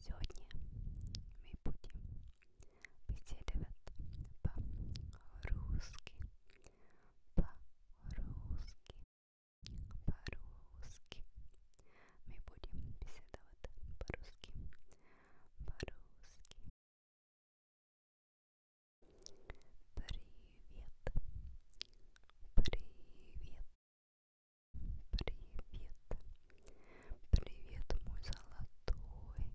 Сьогодні ми будемо беседовать по-русски, по-русски, по-русски. Мы будем беседовать по-русски, по-русски, Привет. Привет. Привет. Привет, мой золотой.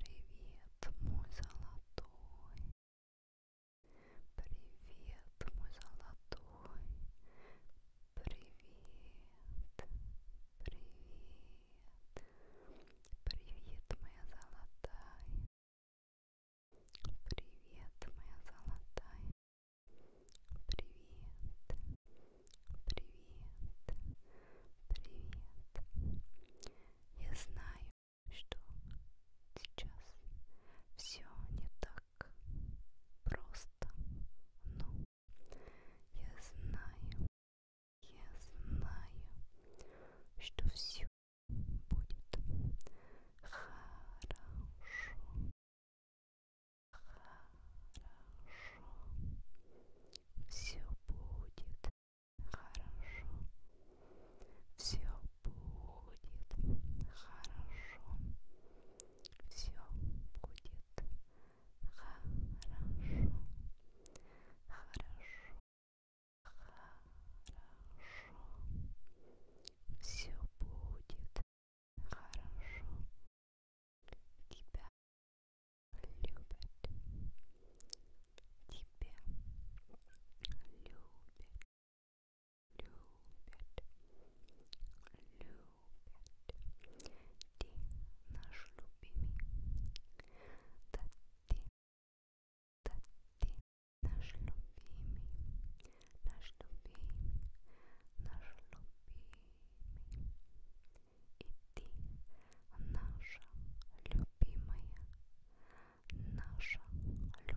Привет, мой золотой. Привет, мой золотой. Привет. Привет, привет, моя золотая. Привет, моя золотая. Привет, привет, привет. Я знаю, что сейчас все не так просто, но я знаю, я знаю, что все будет хорошо. Хорошо. Все будет хорошо. Все будет хорошо. Все будет Хорошо. Хорошо. Хорошо. Все будет хорошо. Тебя любят. Тебя любят. Любят. Любят любят. Ты наш любимый. Да ты, да ты наш любимый, наш любимый, наш любимый. И ты наша любимая, наша любимая,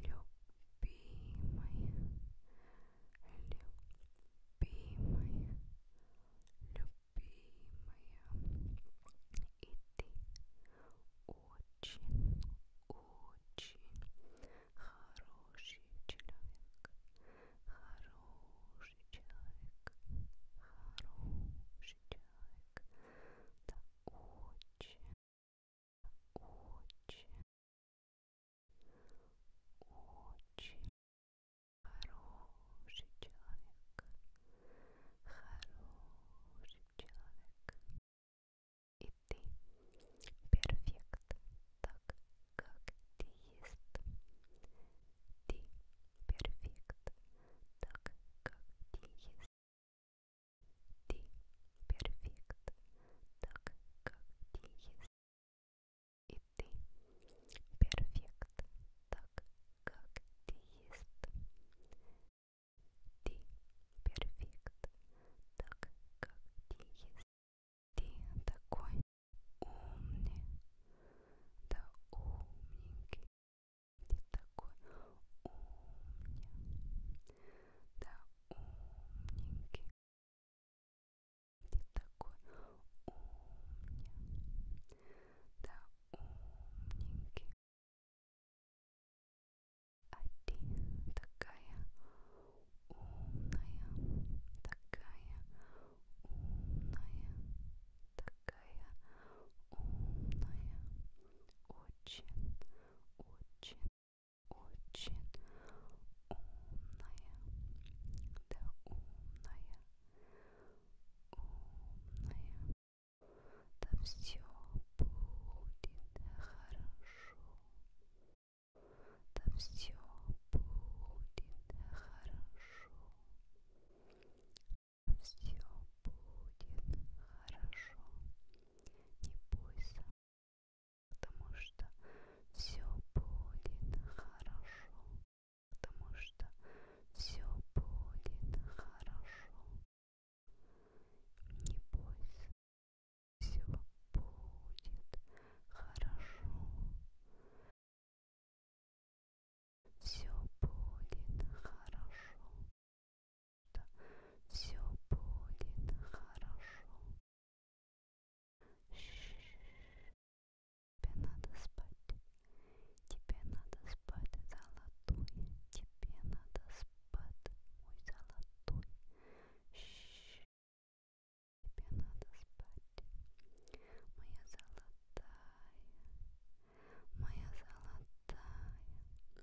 любимая, любимая, любимая, любимая, и ты очень, очень хороший человек, хороший человек, хороший человек, да очень, очень очень хороший человек, хороший человек. И ты перфект, так как ты есть. Ты перфект, так как ты есть. Ты перфект, так как ты есть. И ты перфект, так как ты есть. Ты перфект, так как ты есть. Ты такой умный, да умненький. Ты такой умный, да умненький. Ты такой умник, да умненький. А ты такая умная, такая умная, такая умная. Очень, очень очень умная, да умная, умная, да все будет хорошо, да все будет хорошо, да все будет хорошо, не бойся, потому что все будет хорошо, потому что все будет хорошо. Не бойся, все будет хорошо. Все будет хорошо что все будет хорошо. Ш -ш -ш. Тебе надо спать. Тебе надо спать, золотой. Тебе надо спать, мой золотой. Ш -ш -ш. Тебе надо спать, моя золотая, моя золотая.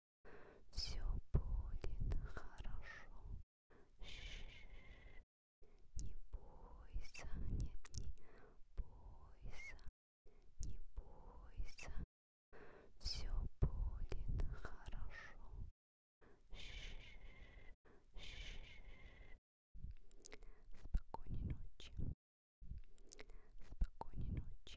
Все будет хорошо. Ш-ш-ш. Не бойся, нет, не бойся, не бойся. Все будет хорошо. Ш-ш-ш. Спокойной ночи. Спокойной ночи.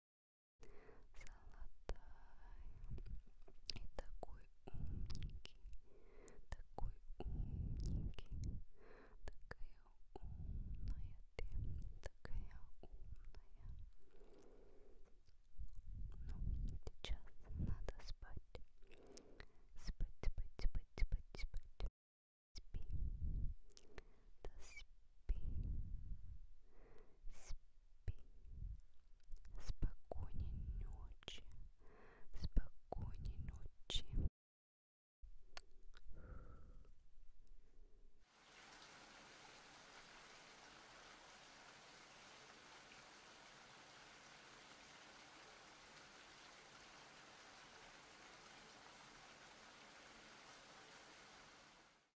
золотая и такой умненький, такой умненький, такая умная ты, такая умная. Ну, сейчас надо спать. Спать, спать, спать, спать, спать. Спи. Да спи. Спи спокойной ночи, спокойной ночи.